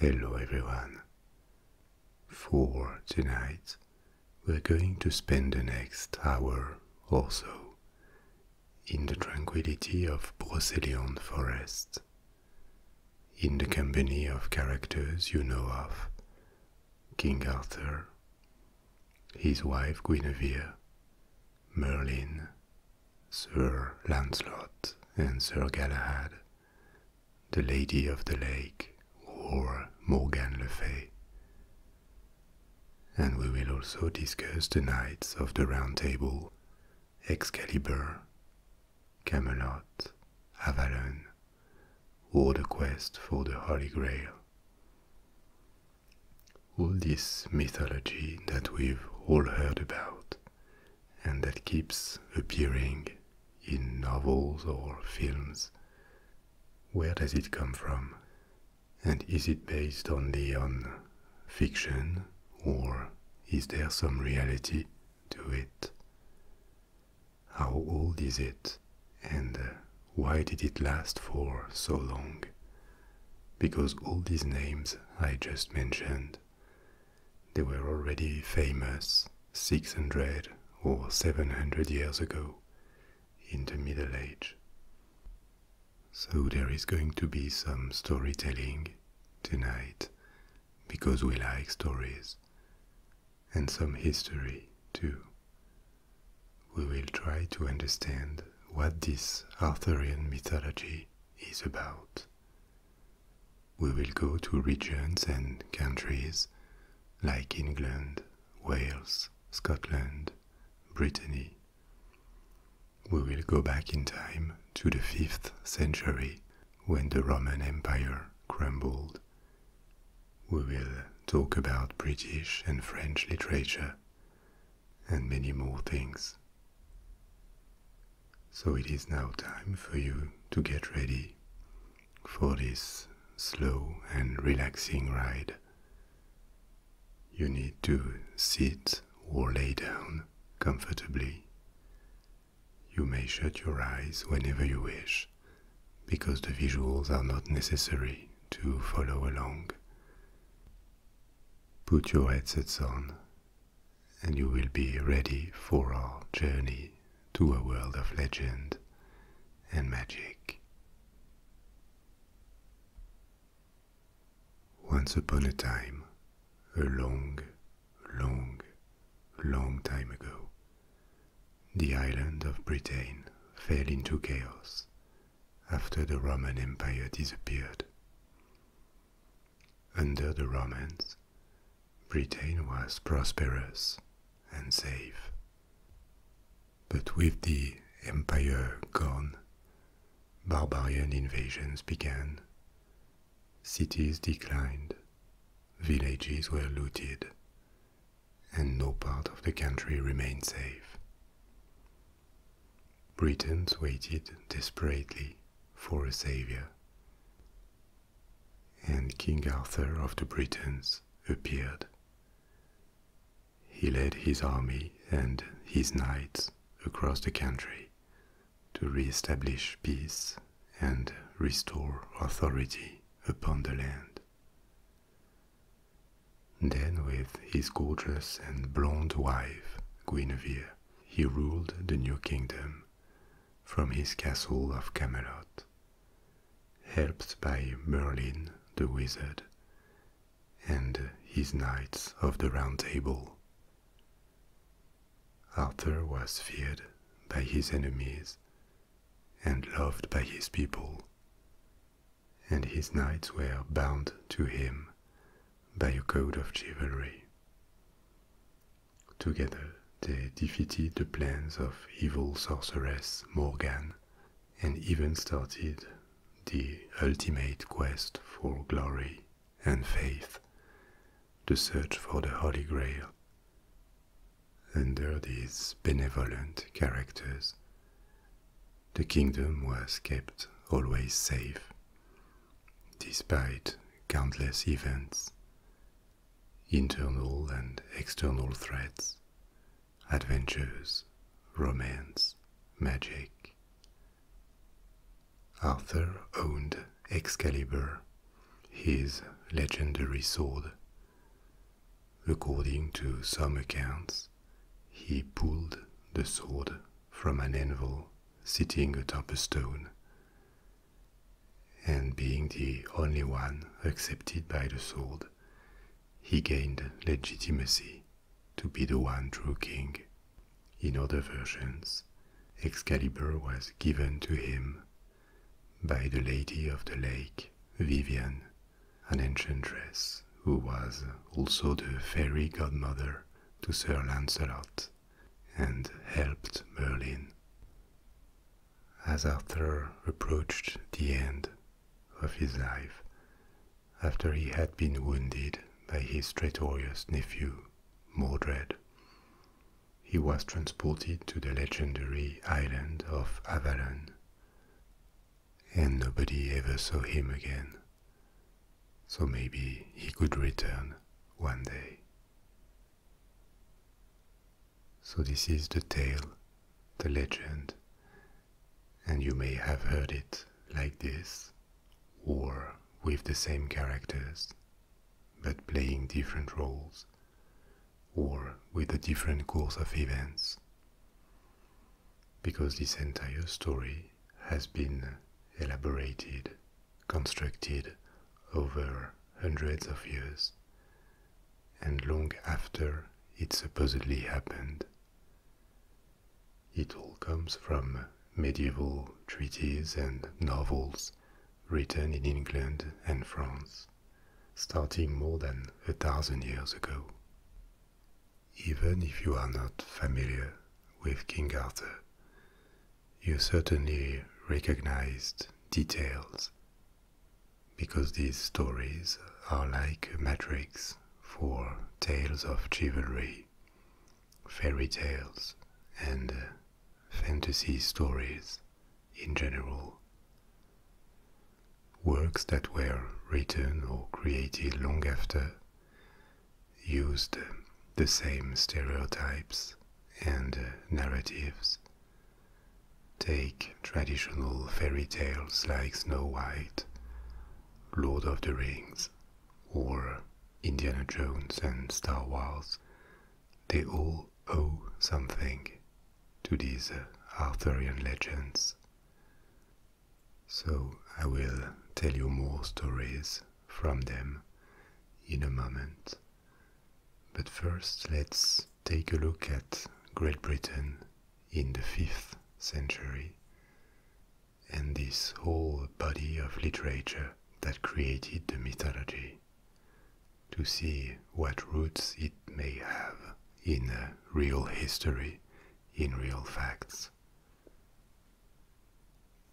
Hello everyone. For tonight, we're going to spend the next hour or so in the tranquility of Brocéliande Forest, in the company of characters you know of King Arthur, his wife Guinevere, Merlin, Sir Lancelot and Sir Galahad, the Lady of the Lake or Morgan le Fay. And we will also discuss the knights of the Round Table, Excalibur, Camelot, Avalon, or the quest for the Holy Grail. All this mythology that we've all heard about and that keeps appearing in novels or films. Where does it come from? And is it based only on fiction or is there some reality to it? How old is it and why did it last for so long? Because all these names I just mentioned they were already famous 600 or 700 years ago in the Middle Age. So there is going to be some storytelling tonight because we like stories and some history too. We will try to understand what this Arthurian mythology is about we will go to regions and countries like England, Wales, Scotland, Brittany. We will go back in time to the 5th century when the Roman Empire crumbled. We will talk about British and French literature and many more things so it is now time for you to get ready for this slow and relaxing ride. You need to sit or lay down comfortably. You may shut your eyes whenever you wish, because the visuals are not necessary to follow along. Put your headsets on and you will be ready for our journey to a world of legend and magic. Once upon a time, a long, long, long time ago, the island of Britain fell into chaos after the Roman Empire disappeared. Under the Romans, Britain was prosperous and safe. But with the empire gone, barbarian invasions began. Cities declined, villages were looted, and no part of the country remained safe. Britons waited desperately for a savior. And King Arthur of the Britons appeared. He led his army and his knights across the country to re-establish peace and restore authority upon the land. Then, with his gorgeous and blonde wife, Guinevere, he ruled the new kingdom from his castle of Camelot, helped by Merlin the wizard and his knights of the Round Table. Arthur was feared by his enemies and loved by his people, and his knights were bound to him by a code of chivalry. Together, they defeated the plans of evil sorceress Morgan and even started the ultimate quest for glory and faith, the search for the Holy Grail. Under these benevolent characters, the kingdom was kept always safe, despite countless events, internal and external threats, adventures, romance, magic. Arthur owned Excalibur, his legendary sword. According to some accounts, he pulled the sword from an anvil sitting atop a stone and being the only one accepted by the sword, he gained legitimacy to be the one true king. In other versions, Excalibur was given to him by the Lady of the Lake, Viviane, an enchantress who was also the fairy godmother to Sir Lancelot and helped Merlin. As Arthur approached the end of his life, after he had been wounded by his traitorous nephew, Mordred, he was transported to the legendary island of Avalon, and nobody ever saw him again so maybe he could return one day. So, this is the tale, the legend, and you may have heard it like this or with the same characters but playing different roles or with a different course of events. Because this entire story has been elaborated, constructed over hundreds of years, and long after it supposedly happened. It all comes from medieval treaties and novels written in England and France, starting more than a thousand years ago. Even if you are not familiar with King Arthur, you certainly recognized details because these stories are like a matrix for tales of chivalry, fairy tales, and fantasy stories in general. Works that were written or created long after used the same stereotypes and uh, narratives. Take traditional fairy tales like Snow White, Lord of the Rings, or Indiana Jones and Star Wars. They all owe something to these uh, Arthurian legends. So I will tell you more stories from them in a moment. But first, let's take a look at Great Britain in the 5th century and this whole body of literature that created the mythology to see what roots it may have in real history, in real facts.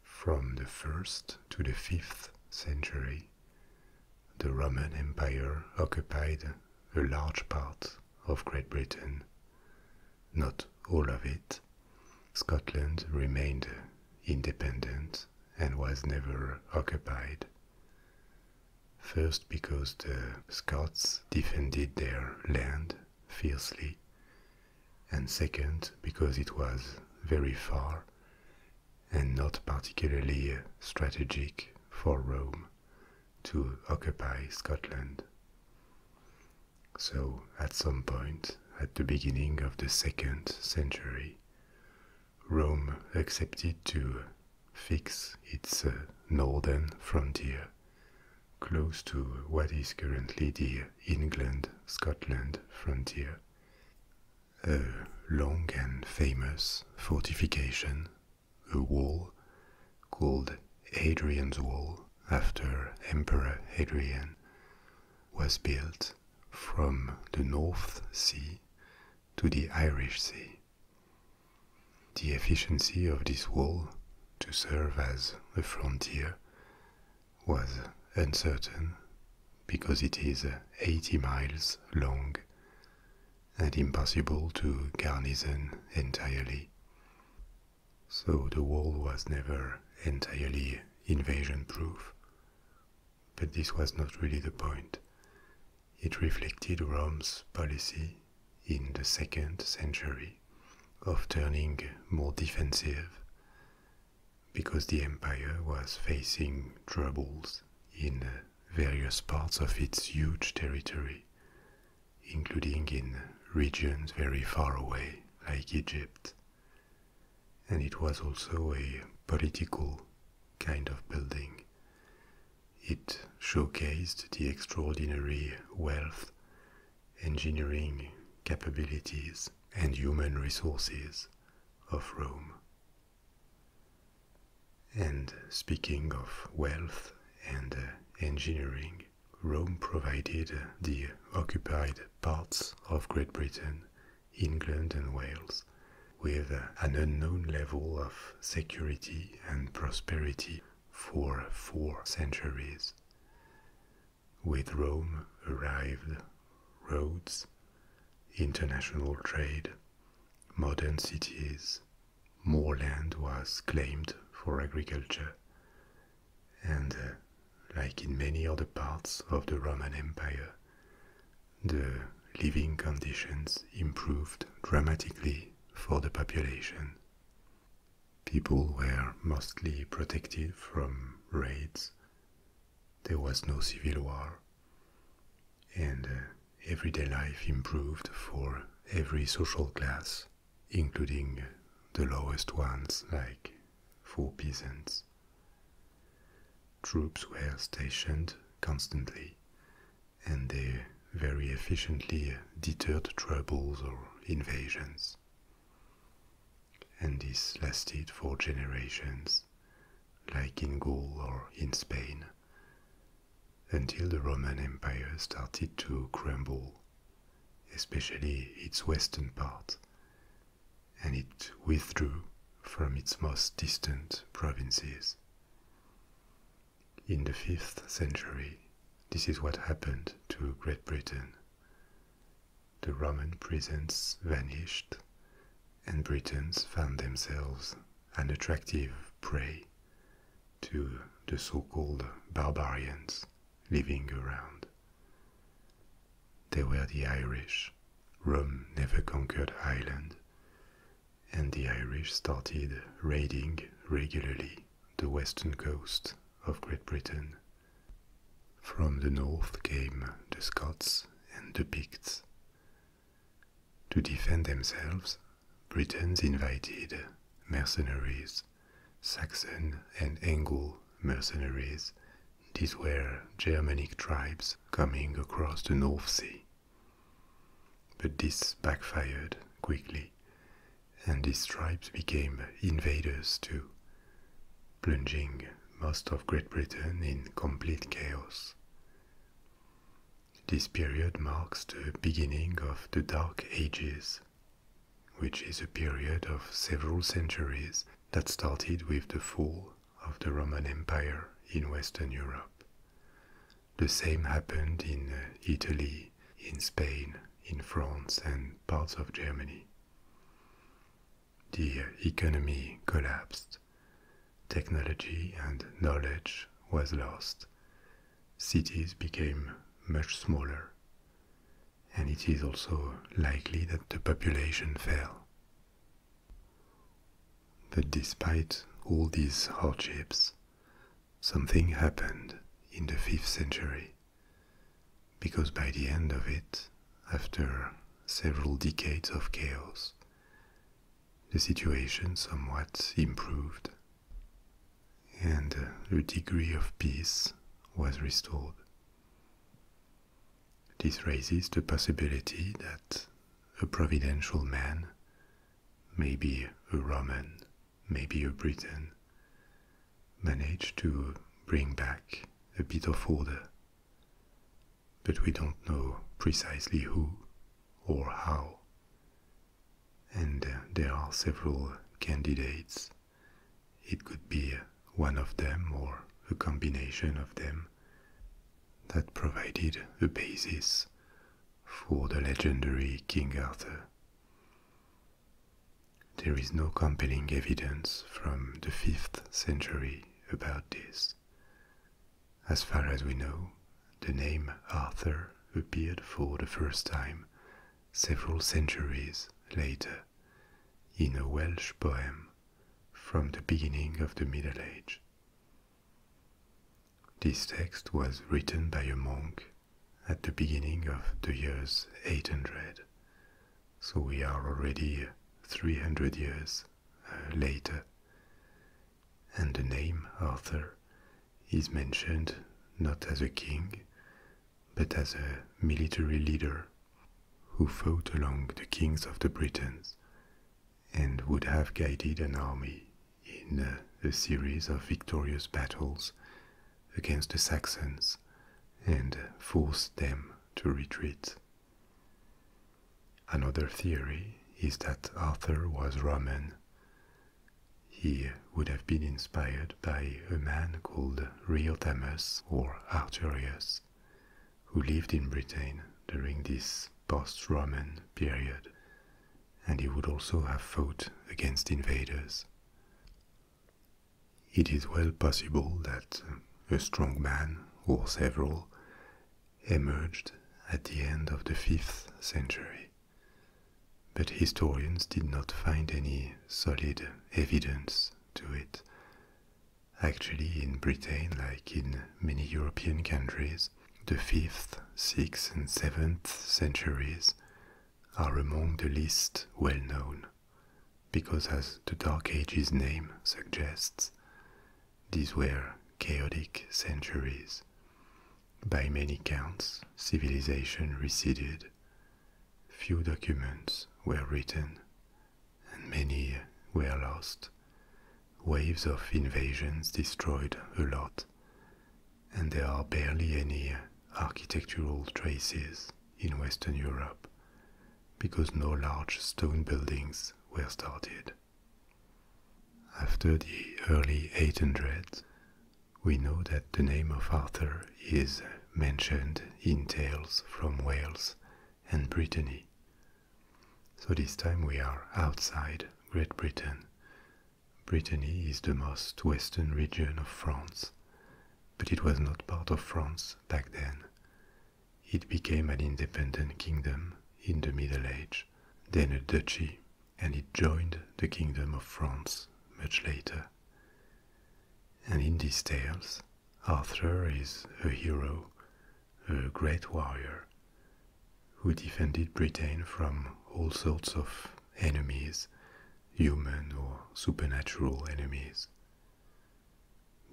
From the 1st to the 5th century, the Roman Empire occupied a large part of Great Britain, not all of it. Scotland remained independent and was never occupied. First, because the Scots defended their land fiercely and second, because it was very far and not particularly uh, strategic for Rome to occupy Scotland. So, at some point, at the beginning of the second century, Rome accepted to fix its uh, northern frontier close to what is currently the England Scotland frontier, a long and famous fortification, a wall called Hadrian's Wall after Emperor Hadrian, was built from the North Sea to the Irish Sea. The efficiency of this wall to serve as a frontier was uncertain because it is 80 miles long and impossible to garnison entirely. So the wall was never entirely invasion proof. But this was not really the point. It reflected Rome's policy in the second century of turning more defensive because the empire was facing troubles in various parts of its huge territory, including in regions very far away, like Egypt. And it was also a political kind of building. It showcased the extraordinary wealth engineering capabilities, and human resources of Rome. And speaking of wealth and uh, engineering, Rome provided uh, the occupied parts of Great Britain, England, and Wales with uh, an unknown level of security and prosperity for four centuries. With Rome arrived roads, international trade, modern cities, more land was claimed for agriculture, and uh, like in many other parts of the Roman Empire, the living conditions improved dramatically for the population. People were mostly protected from raids there was no civil war, and uh, everyday life improved for every social class, including uh, the lowest ones, like for peasants. Troops were stationed constantly, and they very efficiently uh, deterred troubles or invasions. And this lasted for generations, like in Gaul or in Spain, until the Roman Empire started to crumble, especially its western part, and it withdrew from its most distant provinces. In the 5th century, this is what happened to Great Britain. The Roman presence vanished, and Britons found themselves an attractive prey to the so called barbarians living around. They were the Irish. Rome never conquered Ireland, and the Irish started raiding regularly the western coast of Great Britain from the north came the Scots and the Picts. To defend themselves, Britons invited mercenaries, Saxon and Anglo mercenaries. These were Germanic tribes coming across the North Sea. But this backfired quickly, and these tribes became invaders too, plunging most of Great Britain in complete chaos. This period marks the beginning of the Dark Ages, which is a period of several centuries that started with the fall of the Roman Empire in Western Europe. The same happened in uh, Italy, in Spain, in France, and parts of Germany. The economy collapsed. Technology and knowledge was lost. Cities became much smaller. And it is also likely that the population fell. But despite all these hardships, something happened in the 5th century. Because by the end of it, after several decades of chaos, the situation somewhat improved and a uh, degree of peace was restored. This raises the possibility that a providential man, maybe a Roman, maybe a Briton, managed to bring back a bit of order. But we don't know precisely who or how. And uh, there are several candidates. It could be one of them or a combination of them that provided a basis for the legendary King Arthur. There is no compelling evidence from the 5th century about this. As far as we know, the name Arthur appeared for the first time several centuries later in a Welsh poem from the beginning of the Middle Age. This text was written by a monk at the beginning of the years 800 so we are already 300 years uh, later. And the name Arthur is mentioned not as a king, but as a military leader who fought along the kings of the Britons and would have guided an army in uh, a, series of victorious battles against the Saxons and forced them to retreat. Another theory is that Arthur was Roman. He would have been inspired by a man called Riotamus or Arturius, who lived in Britain during this post Roman period, and he would also have fought against invaders. It is well possible that a strong man or several emerged at the end of the 5th century, but historians did not find any solid evidence to it. Actually, in Britain, like in many European countries, the 5th, 6th, and 7th centuries are among the least well known because, as the Dark Ages name suggests, these were chaotic centuries. By many counts, civilization receded, few documents were written, and many were lost. Waves of invasions destroyed a lot, and there are barely any architectural traces in Western Europe, because no large stone buildings were started. After the early 800s, we know that the name of Arthur is mentioned in tales from Wales and Brittany. So this time we are outside Great Britain. Brittany is the most western region of France but it was not part of France back then. It became an independent kingdom in the Middle Age, then a duchy, and it joined the Kingdom of France much later. And in these tales, Arthur is a hero, a great warrior, who defended Britain from all sorts of enemies, human or supernatural enemies.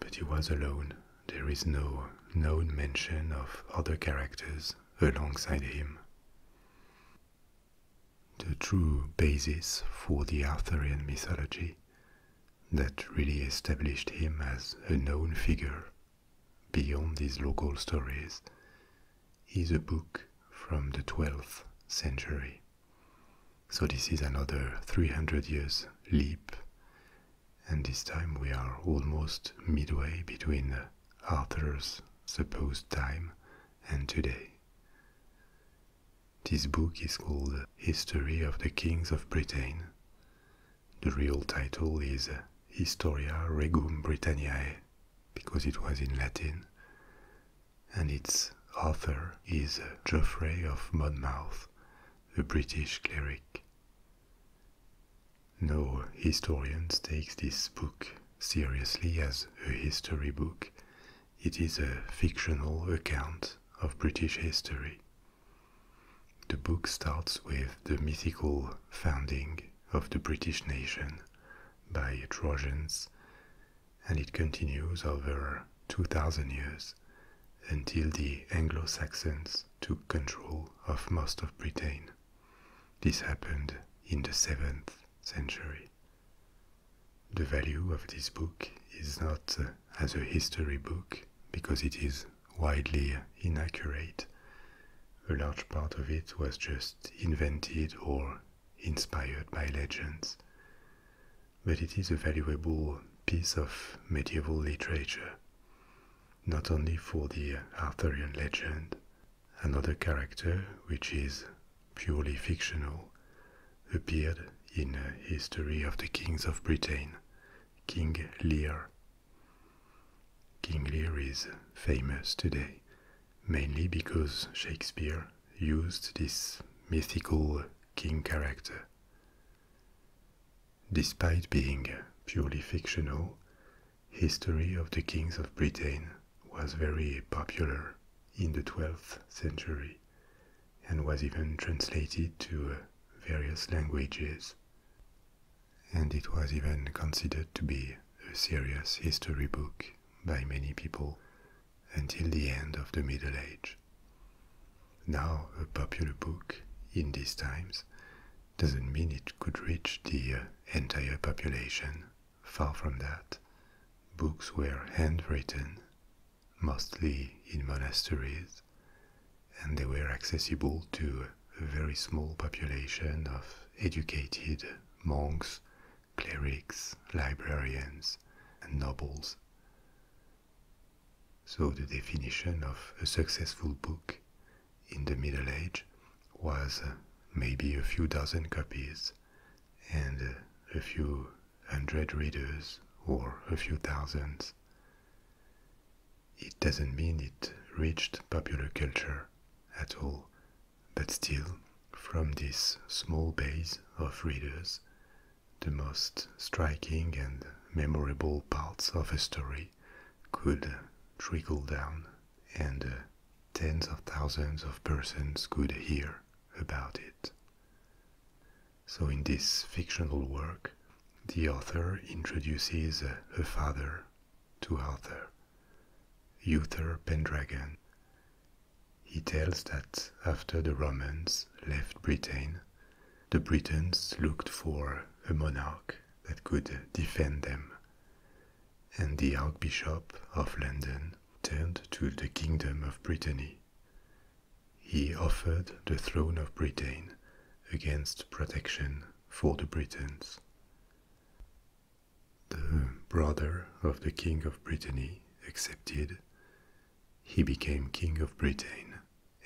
But he was alone. There is no known mention of other characters alongside him. The true basis for the Arthurian mythology that really established him as a known figure beyond these local stories is a book from the 12th century. So this is another 300 years leap, and this time we are almost midway between Arthur's supposed time and today. This book is called History of the Kings of Britain. The real title is Historia Regum Britanniae because it was in Latin, and its author is Geoffrey of Monmouth, a British cleric. No historian takes this book seriously as a history book. It is a fictional account of British history. The book starts with the mythical founding of the British nation by Trojans and it continues over 2000 years until the Anglo Saxons took control of most of Britain. This happened in the 7th century. The value of this book is not uh, as a history book because it is widely inaccurate. A large part of it was just invented or inspired by legends but it is a valuable piece of medieval literature, not only for the Arthurian legend, another character which is purely fictional appeared in a history of the kings of Britain, King Lear. King Lear is famous today mainly because Shakespeare used this mythical king character. Despite being purely fictional, history of the kings of Britain was very popular in the 12th century and was even translated to various languages. And it was even considered to be a serious history book by many people, until the end of the Middle Age. Now, a popular book in these times doesn't mean it could reach the uh, entire population, far from that. Books were handwritten, mostly in monasteries, and they were accessible to a very small population of educated monks, clerics, librarians, and nobles. So the definition of a successful book in the Middle Age was uh, maybe a few dozen copies and uh, a few hundred readers or a few thousands. It doesn't mean it reached popular culture at all, but still, from this small base of readers, the most striking and memorable parts of a story could trickle down, and uh, tens of thousands of persons could hear about it. So, in this fictional work, the author introduces uh, her father to Arthur, Uther Pendragon, he tells that after the Romans left Britain, the Britons looked for a monarch that could defend them, and the Archbishop of London turned to the Kingdom of Brittany. He offered the throne of Britain against protection for the Britons. The brother of the King of Brittany accepted, he became King of Britain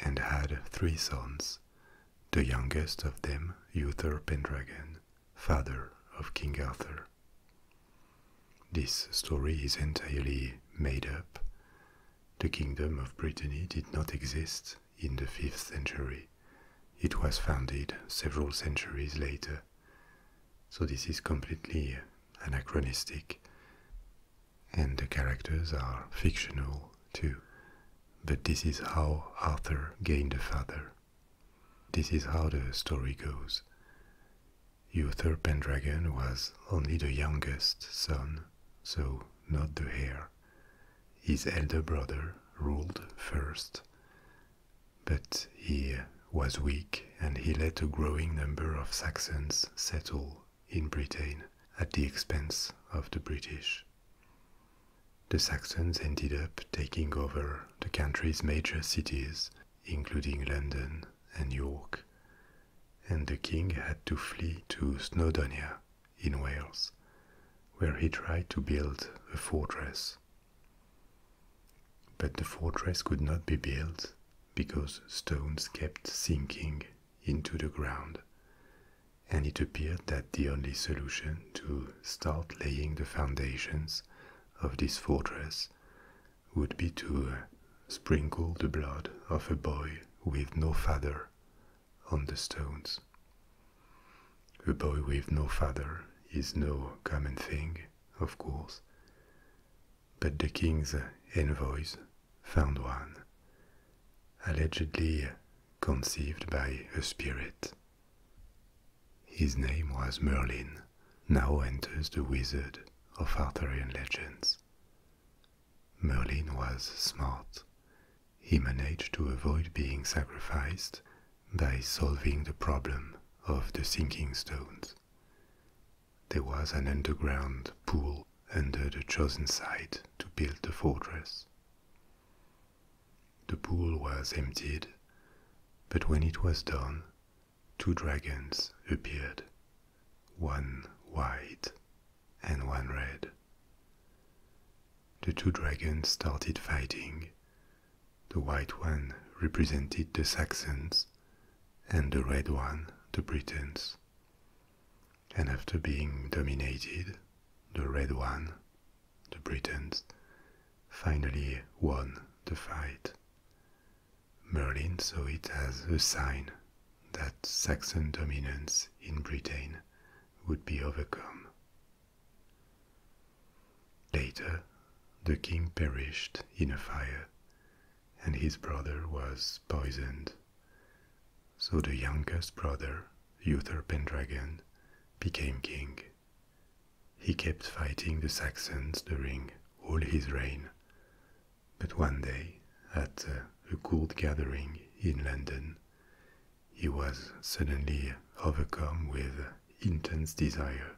and had three sons, the youngest of them Uther Pendragon, father of King Arthur. This story is entirely made up. The Kingdom of Brittany did not exist in the 5th century. It was founded several centuries later. So, this is completely anachronistic, and the characters are fictional too. But this is how Arthur gained the father. This is how the story goes. Uther Pendragon was only the youngest son, so not the heir. His elder brother ruled first, but he was weak and he let a growing number of Saxons settle in Britain at the expense of the British. The Saxons ended up taking over the country's major cities, including London and York, and the king had to flee to Snowdonia in Wales, where he tried to build a fortress. But the fortress could not be built because stones kept sinking into the ground, and it appeared that the only solution to start laying the foundations of this fortress would be to uh, sprinkle the blood of a boy with no father on the stones. A boy with no father is no common thing, of course but the king's envoys found one, allegedly conceived by a spirit. His name was Merlin, now enters the wizard of Arthurian legends. Merlin was smart. He managed to avoid being sacrificed by solving the problem of the sinking stones. There was an underground pool under the chosen site to build the fortress. The pool was emptied, but when it was done, two dragons appeared, one white and one red. The two dragons started fighting. The white one represented the Saxons, and the Red one, the Britons. And after being dominated, the Red one, the Britons, finally won the fight. Merlin saw it as a sign that Saxon dominance in Britain would be overcome. Later, the king perished in a fire, and his brother was poisoned. So the youngest brother, Uther Pendragon, became king. He kept fighting the Saxons during all his reign, but one day, at uh, a cold gathering in London, he was suddenly overcome with intense desire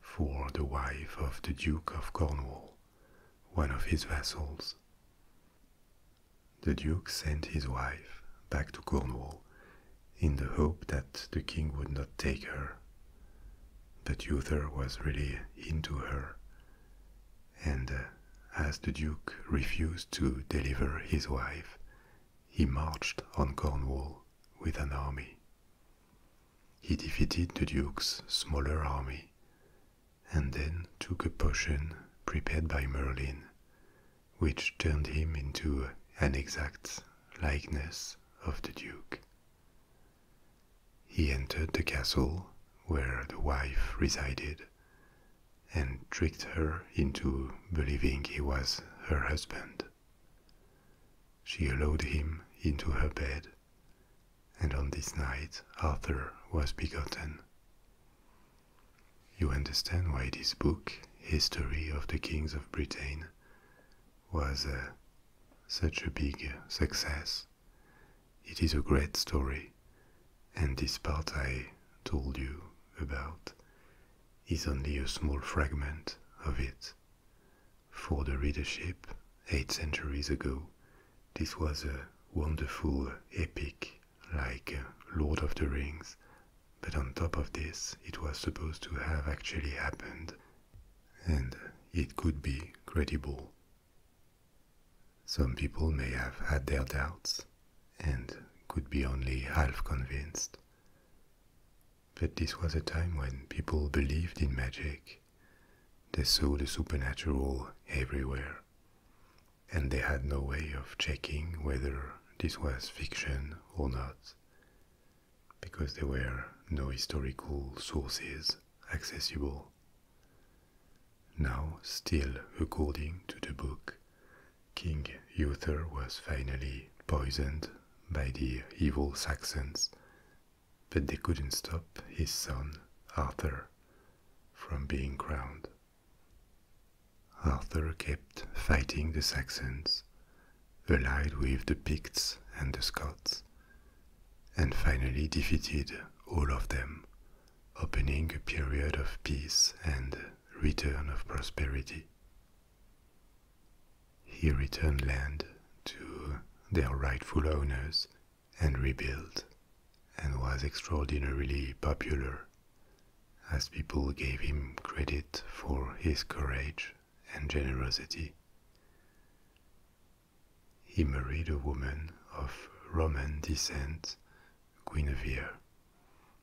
for the wife of the Duke of Cornwall one of his vassals. The Duke sent his wife back to Cornwall in the hope that the king would not take her. But Uther was really into her, and uh, as the Duke refused to deliver his wife, he marched on Cornwall with an army. He defeated the Duke's smaller army and then took a potion prepared by Merlin, which turned him into an exact likeness of the Duke. He entered the castle where the wife resided and tricked her into believing he was her husband. She allowed him into her bed and on this night Arthur was begotten. You understand why this book, History of the Kings of Britain, was uh, such a big success. It is a great story, and this part I told you about is only a small fragment of it. For the readership, eight centuries ago, this was a wonderful epic like uh, Lord of the Rings, but on top of this, it was supposed to have actually happened, and it could be credible. Some people may have had their doubts and could be only half convinced. But this was a time when people believed in magic they saw the supernatural everywhere, and they had no way of checking whether this was fiction or not, because there were no historical sources accessible. Now, still according to the book, King Uther was finally poisoned by the evil Saxons but they couldn't stop his son, Arthur, from being crowned. Arthur kept fighting the Saxons, allied with the Picts and the Scots, and finally defeated all of them, opening a period of peace and return of prosperity he returned land to their rightful owners and rebuilt, and was extraordinarily popular as people gave him credit for his courage and generosity. He married a woman of Roman descent, Guinevere.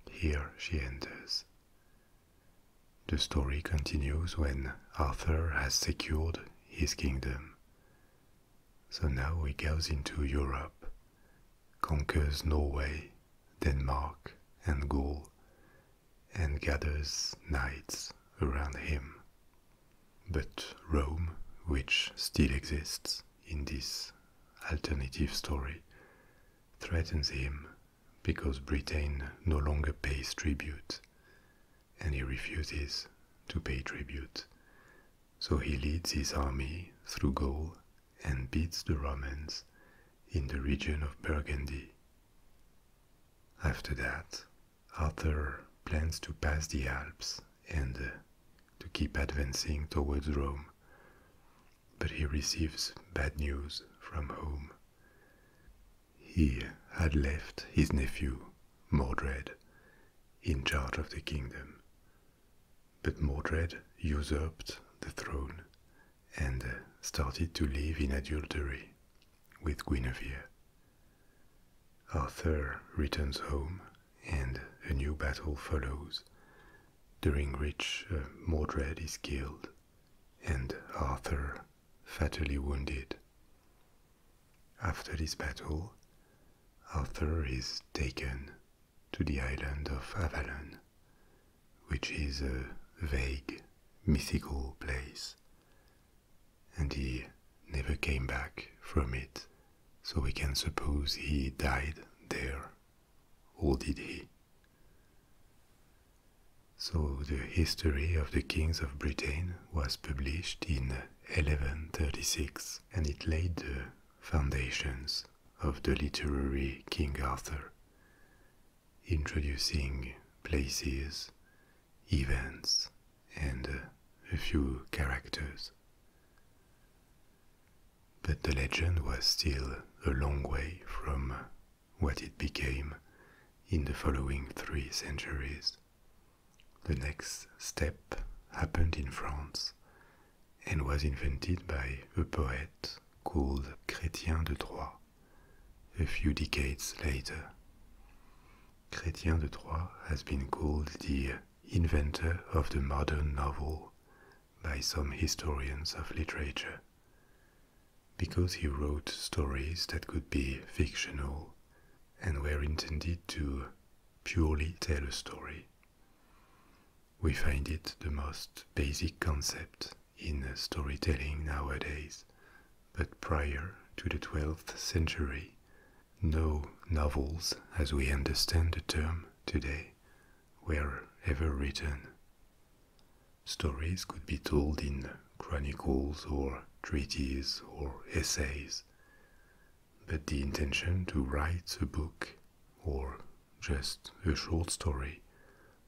Here she enters. The story continues when Arthur has secured his kingdom. So now he goes into Europe, conquers Norway, Denmark, and Gaul, and gathers knights around him. But Rome, which still exists in this alternative story, threatens him because Britain no longer pays tribute and he refuses to pay tribute. So he leads his army through Gaul and beats the Romans in the region of Burgundy. After that, Arthur plans to pass the Alps and uh, to keep advancing towards Rome. But he receives bad news from home he had left his nephew, Mordred, in charge of the kingdom. But Mordred usurped the throne and uh, started to live in adultery with Guinevere. Arthur returns home and a new battle follows, during which uh, Mordred is killed and Arthur fatally wounded. After this battle, Arthur is taken to the island of Avalon, which is a vague, mythical place, and he never came back from it, so we can suppose he died there, or did he? So the history of the kings of Britain was published in 1136 and it laid the foundations of the literary King Arthur, introducing places, events, and a few characters. But the legend was still a long way from what it became in the following three centuries. The next step happened in France and was invented by a poet called Chrétien de Troyes a few decades later. Chrétien de Troyes has been called the inventor of the modern novel by some historians of literature because he wrote stories that could be fictional and were intended to purely tell a story. We find it the most basic concept in storytelling nowadays, but prior to the 12th century, no novels, as we understand the term today, were ever written. Stories could be told in chronicles or treatises or essays, but the intention to write a book or just a short story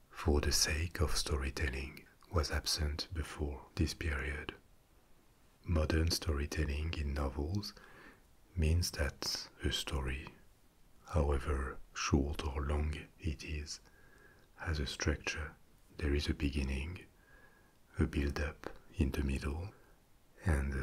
for the sake of storytelling was absent before this period. Modern storytelling in novels means that a story, however short or long it is, has a structure. There is a beginning, a build-up in the middle, and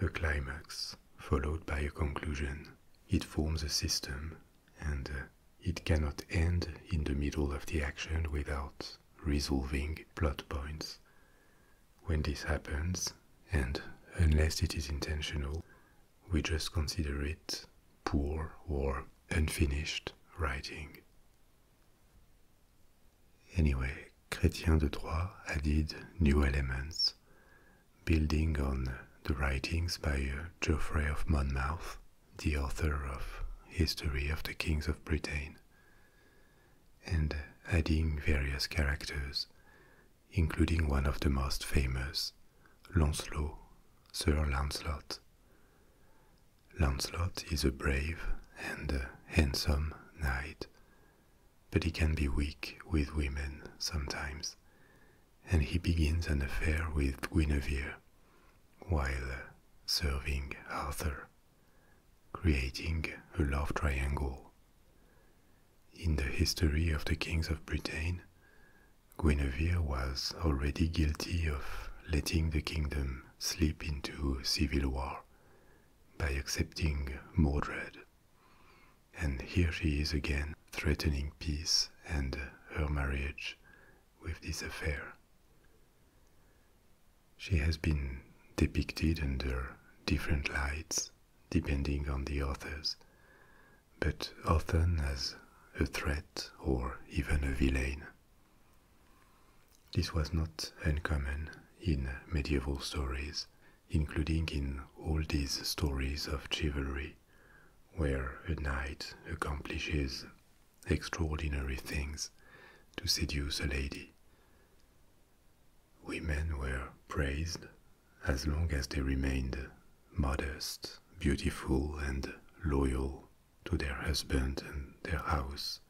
a climax followed by a conclusion. It forms a system, and uh, it cannot end in the middle of the action without resolving plot points. When this happens, and unless it is intentional, we just consider it poor or unfinished writing. Anyway, Chrétien de Troy added new elements, building on the writings by uh, Geoffrey of Monmouth, the author of History of the Kings of Britain, and adding various characters, including one of the most famous, Launcelot, Sir Launcelot. Lancelot is a brave and handsome knight, but he can be weak with women sometimes, and he begins an affair with Guinevere while serving Arthur, creating a love triangle. In the history of the kings of Britain, Guinevere was already guilty of letting the kingdom them slip into civil war by accepting Mordred. And here she is again threatening peace and her marriage with this affair. She has been depicted under different lights depending on the authors, but often as a threat or even a villain. This was not uncommon in medieval stories, including in all these stories of chivalry, where a knight accomplishes extraordinary things to seduce a lady. Women were praised as long as they remained modest, beautiful, and loyal to their husband and their house.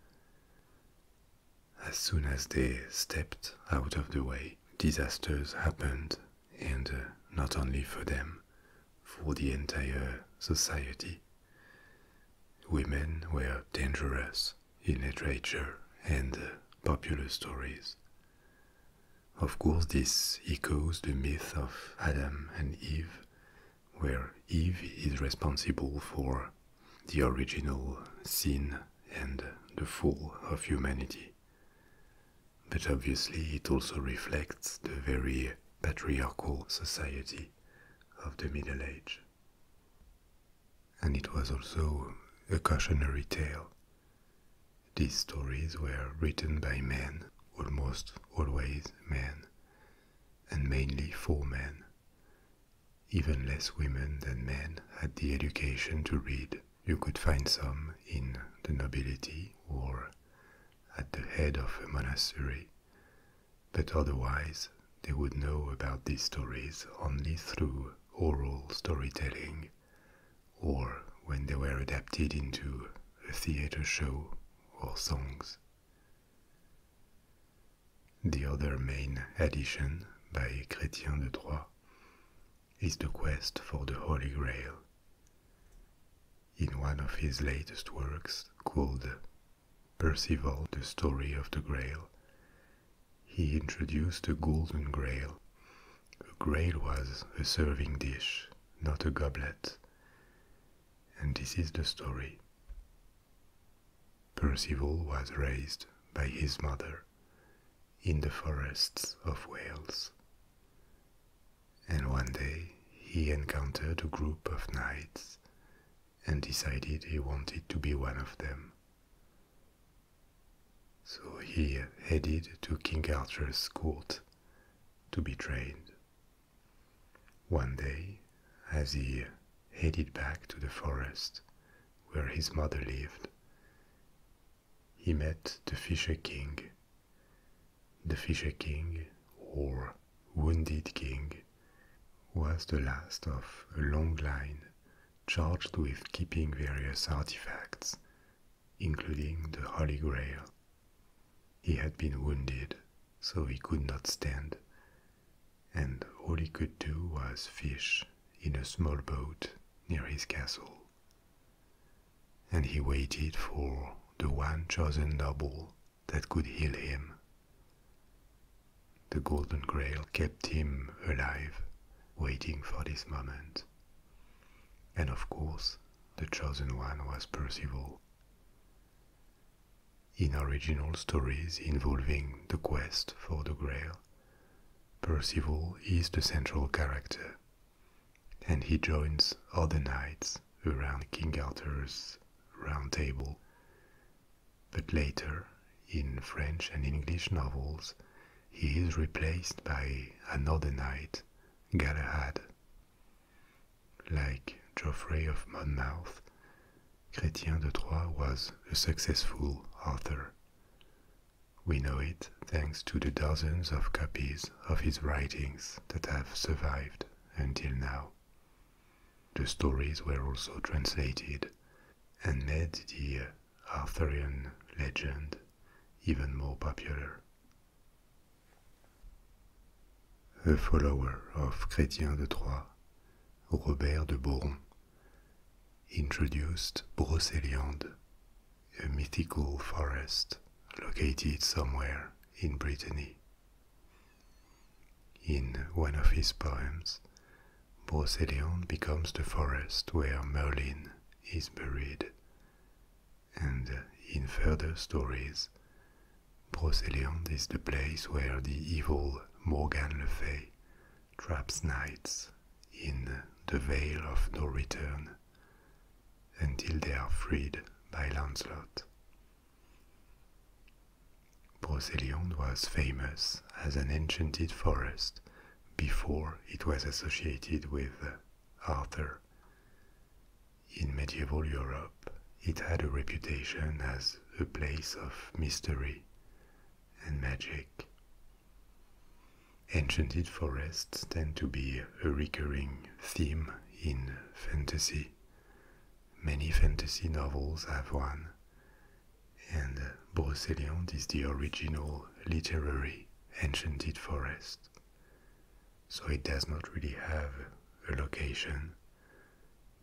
As soon as they stepped out of the way, disasters happened, and uh, not only for them, for the entire society. Women were dangerous in literature and uh, popular stories. Of course, this echoes the myth of Adam and Eve, where Eve is responsible for the original sin and the fall of humanity. But obviously, it also reflects the very patriarchal society of the Middle Age. And it was also a cautionary tale. These stories were written by men, almost always men, and mainly for men. Even less women than men had the education to read. You could find some in the nobility or at the head of a monastery, but otherwise they would know about these stories only through oral storytelling or when they were adapted into a theater show or songs. The other main addition by Chrétien de Troyes is the quest for the Holy Grail. In one of his latest works, called Percival, the Story of the Grail, he introduced the golden grail. A grail was a serving dish, not a goblet. And this is the story. Percival was raised by his mother in the forests of Wales. And one day he encountered a group of knights and decided he wanted to be one of them. So he headed to King Arthur's court to be trained one day, as he headed back to the forest where his mother lived, he met the Fisher King. The Fisher King, or Wounded King, was the last of a long line charged with keeping various artifacts, including the Holy Grail. He had been wounded so he could not stand, and all he could do was fish in a small boat near his castle. And he waited for the one chosen double that could heal him. The Golden Grail kept him alive, waiting for this moment. And of course, the chosen one was Percival. In original stories involving the quest for the Grail, Percival is the central character, and he joins other knights around King Arthur's Round Table. But later, in French and English novels, he is replaced by another knight, Galahad, like Geoffrey of Monmouth, Chrétien de Troyes was a successful author. We know it thanks to the dozens of copies of his writings that have survived until now. The stories were also translated and made the Arthurian legend even more popular a follower of Chrétien de Troyes, Robert de Boron introduced Brocéliande, a mythical forest located somewhere in Brittany. In one of his poems, Brocéliande becomes the forest where Merlin is buried, and in further stories, Brocéliande is the place where the evil Morgan Le Fay traps knights in the Vale of No Return until they are freed by Lancelot. Brocéliande was famous as an enchanted forest before it was associated with Arthur. In medieval Europe, it had a reputation as a place of mystery and magic. Enchanted forests tend to be a recurring theme in fantasy. Many fantasy novels have one, and Brocéliande is the original literary enchanted forest. So it does not really have a location,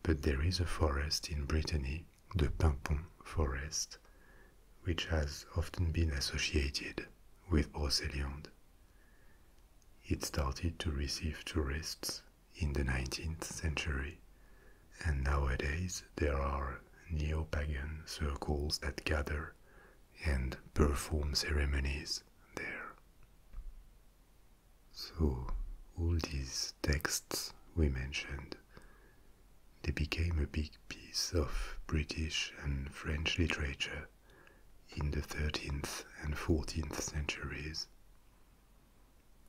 but there is a forest in Brittany, the Pimpon Forest, which has often been associated with Brocéliande. It started to receive tourists in the 19th century, and nowadays there are neo pagan circles that gather and perform ceremonies there. So all these texts we mentioned, they became a big piece of British and French literature in the 13th and 14th centuries.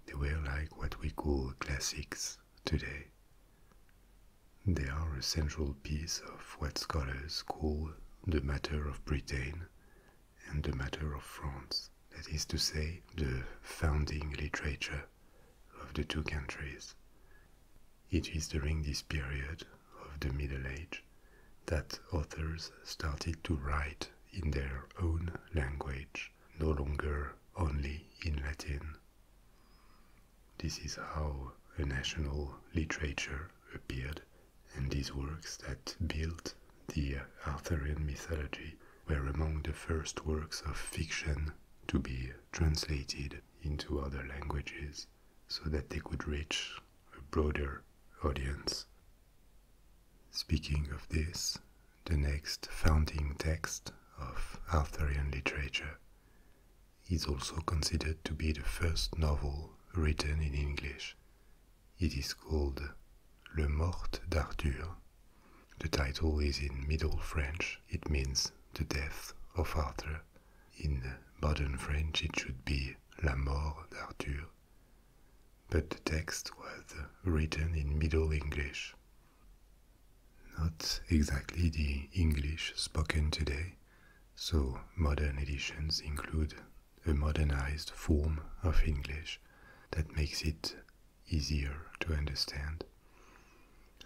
They were like what we call classics today. They are a central piece of what scholars call the matter of Britain and the matter of France, that is to say, the founding literature of the two countries. It is during this period of the Middle Age that authors started to write in their own language, no longer only in Latin. This is how a national literature appeared and these works that built the Arthurian mythology were among the first works of fiction to be translated into other languages so that they could reach a broader audience. Speaking of this, the next founding text of Arthurian literature is also considered to be the first novel written in English it is called Le Mort d'Arthur. The title is in Middle French, it means the death of Arthur. In modern French, it should be La Mort d'Arthur. But the text was written in Middle English. Not exactly the English spoken today, so modern editions include a modernized form of English that makes it easier to understand.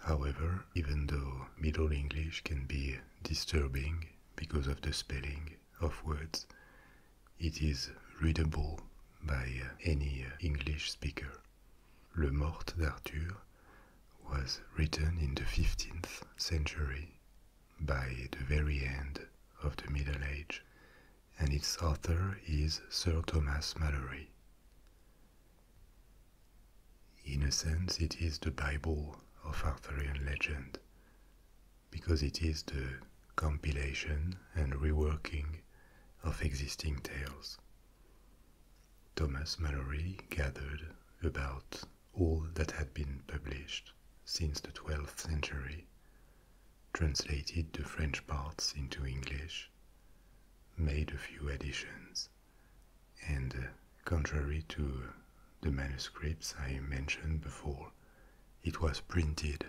However, even though Middle English can be disturbing because of the spelling of words, it is readable by any English speaker. Le Morte d'Arthur was written in the 15th century by the very end of the Middle Age and its author is Sir Thomas Malory. In a sense, it is the Bible of Arthurian legend, because it is the compilation and reworking of existing tales. Thomas Malory gathered about all that had been published since the 12th century translated the French parts into English, made a few additions, and uh, contrary to the manuscripts I mentioned before, it was printed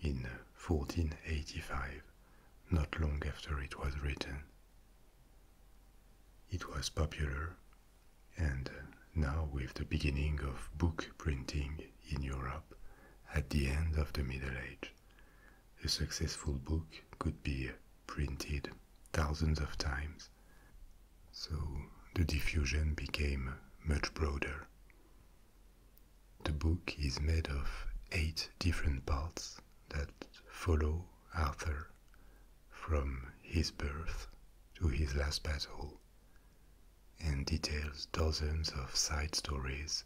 in 1485, uh, not long after it was written. It was popular, and uh, now with the beginning of book printing in Europe at the end of the Middle Age. A successful book could be printed thousands of times, so the diffusion became much broader. The book is made of eight different parts that follow Arthur from his birth to his last battle and details dozens of side stories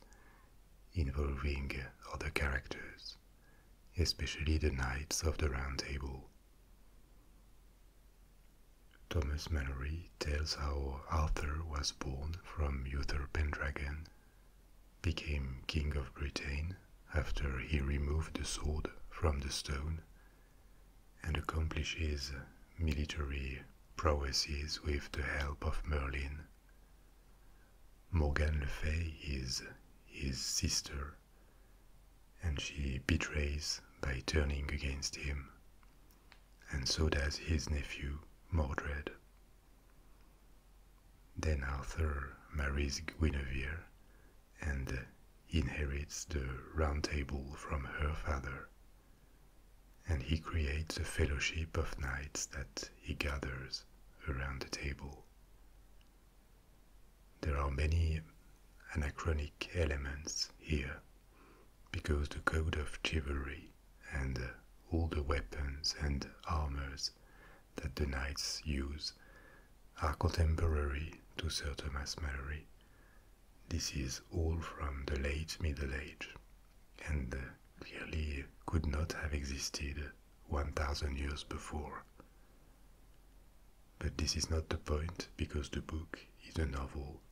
involving other characters, especially the Knights of the Round Table. Thomas Malory tells how Arthur was born from Uther Pendragon, became King of Britain after he removed the sword from the stone and accomplishes military prowesses with the help of Merlin. Morgan Le Fay is his sister, and she betrays by turning against him, and so does his nephew Mordred. Then Arthur marries Guinevere and inherits the Round Table from her father and he creates a fellowship of knights that he gathers around the table. There are many anachronic elements here because the code of chivalry and all the weapons and armors that the knights use are contemporary to Sir Thomas Malory this is all from the late Middle Age and uh, clearly could not have existed 1000 years before. But this is not the point because the book is a novel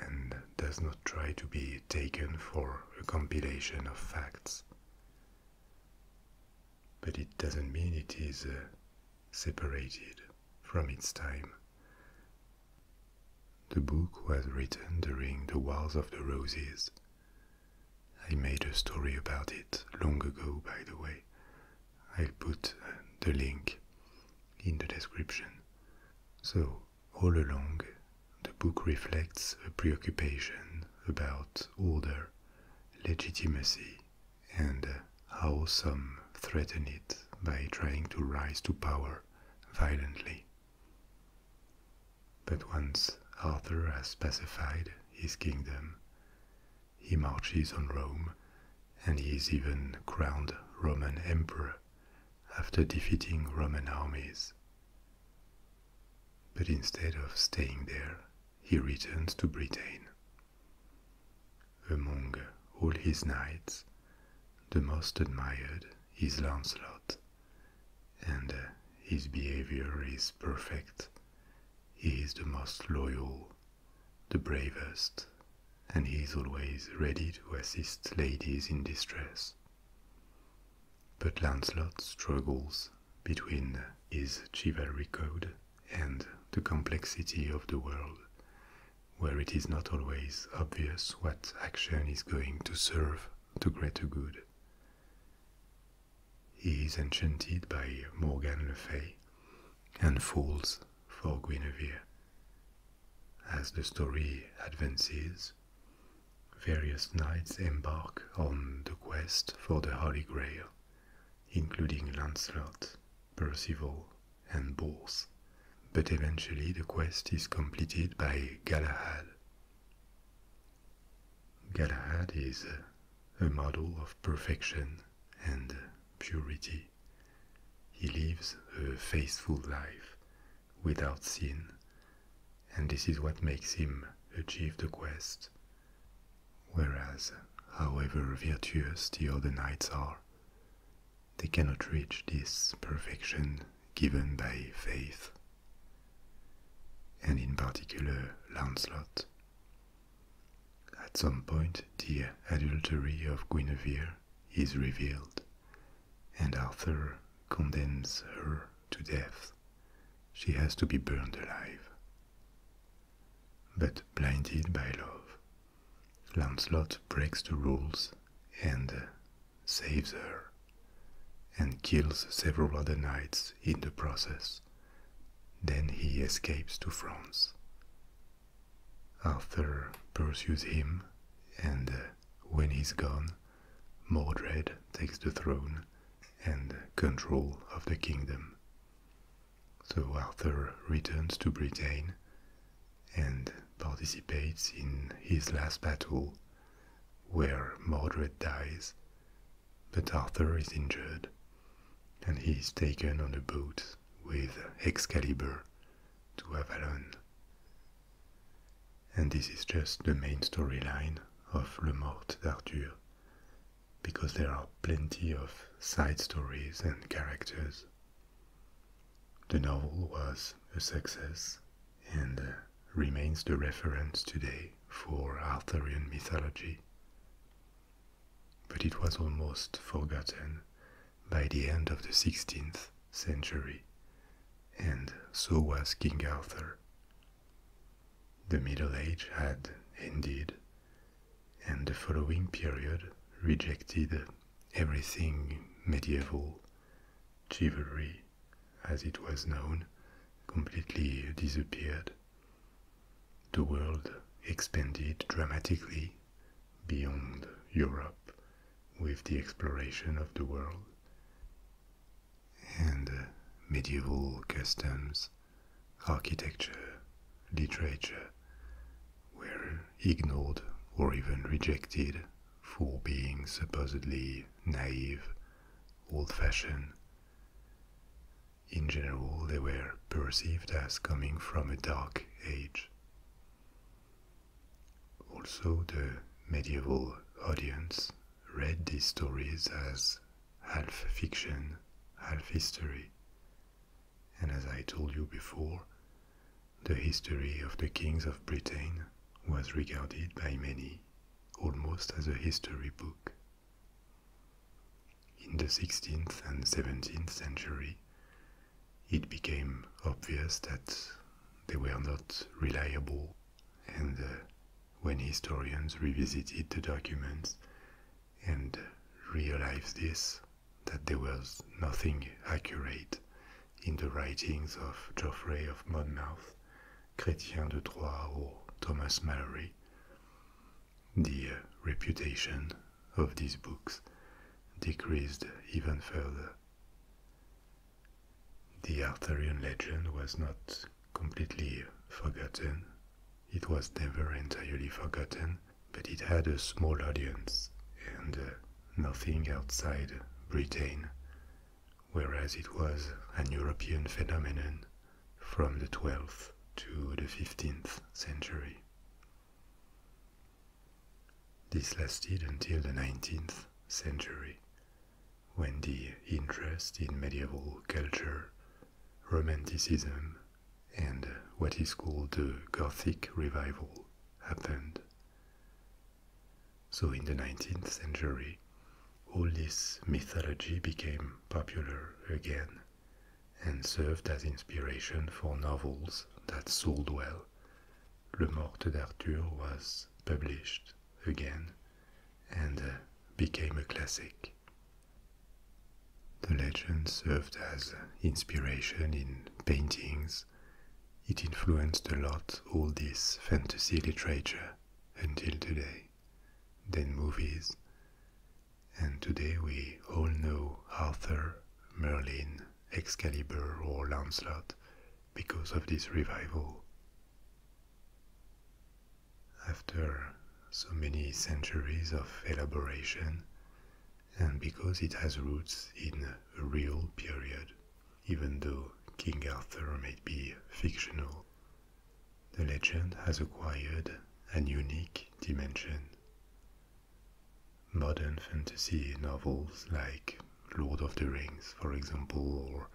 and does not try to be taken for a compilation of facts. But it doesn't mean it is uh, separated from its time the book was written during the Wars of the Roses. I made a story about it long ago, by the way. I'll put uh, the link in the description. So, all along, the book reflects a preoccupation about order, legitimacy, and how some threaten it by trying to rise to power violently. But once Arthur has pacified his kingdom, he marches on Rome and he is even crowned Roman emperor after defeating Roman armies. But instead of staying there, he returns to Britain among all his knights, the most admired is Lancelot, and uh, his behavior is perfect. He is the most loyal, the bravest, and he is always ready to assist ladies in distress. But Lancelot struggles between his chivalry code and the complexity of the world where it is not always obvious what action is going to serve to greater good. He is enchanted by Morgan Le Fay and falls for Guinevere. As the story advances, various knights embark on the quest for the Holy Grail, including Lancelot, Percival, and both, but eventually the quest is completed by Galahad. Galahad is a model of perfection and purity. He lives a faithful life without sin, and this is what makes him achieve the quest. Whereas, however virtuous the other knights are, they cannot reach this perfection given by faith, and in particular Lancelot. At some point, the adultery of Guinevere is revealed, and Arthur condemns her to death. She has to be burned alive. But blinded by love, Lancelot breaks the rules and uh, saves her, and kills several other knights in the process. Then he escapes to France. Arthur pursues him, and uh, when he's gone, Mordred takes the throne and control of the kingdom. So Arthur returns to Britain and participates in his last battle, where Mordred dies. But Arthur is injured, and he is taken on a boat with Excalibur to Avalon. And this is just the main storyline of Le Mort d'Arthur, because there are plenty of side stories and characters. The novel was a success and remains the reference today for Arthurian mythology. But it was almost forgotten by the end of the 16th century, and so was King Arthur. The Middle Age had ended, and the following period rejected everything medieval, chivalry, as it was known, completely disappeared. The world expanded dramatically beyond Europe with the exploration of the world. And uh, medieval customs, architecture, literature, were ignored or even rejected for being supposedly naive, old fashioned. In general, they were perceived as coming from a dark age. Also, the medieval audience read these stories as half fiction, half history, and as I told you before, the history of the kings of Britain was regarded by many almost as a history book. In the 16th and 17th century, it became obvious that they were not reliable, and uh, when historians revisited the documents and realized this, that there was nothing accurate in the writings of Geoffrey of Monmouth, Chrétien de Troyes, or Thomas Malory. The uh, reputation of these books decreased even further. The Arthurian legend was not completely forgotten, it was never entirely forgotten, but it had a small audience and uh, nothing outside Britain, whereas it was an European phenomenon from the 12th to the 15th century. This lasted until the 19th century, when the interest in medieval culture, Romanticism, and uh, what is called the Gothic revival happened so in the 19th century, all this mythology became popular again and served as inspiration for novels that sold well. Le Morte d'Arthur was published again and uh, became a classic. The legend served as inspiration in paintings it influenced a lot all this fantasy literature until today, then movies. And today we all know Arthur, Merlin, Excalibur, or Lancelot because of this revival. After so many centuries of elaboration, and because it has roots in a real period, even though King Arthur may be fictional. The legend has acquired an unique dimension. Modern fantasy novels like Lord of the Rings, for example, or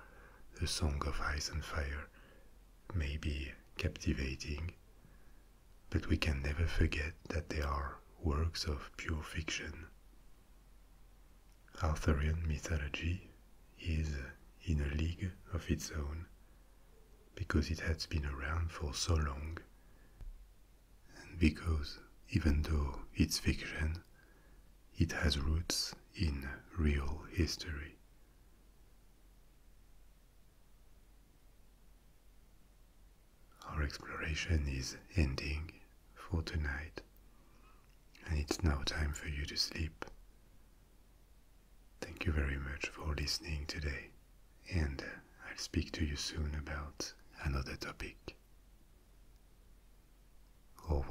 The Song of Ice and Fire may be captivating, but we can never forget that they are works of pure fiction. Arthurian mythology is in a league of its own because it has been around for so long, and because even though it's fiction, it has roots in real history. Our exploration is ending for tonight, and it's now time for you to sleep. Thank you very much for listening today, and I'll speak to you soon about another topic. Au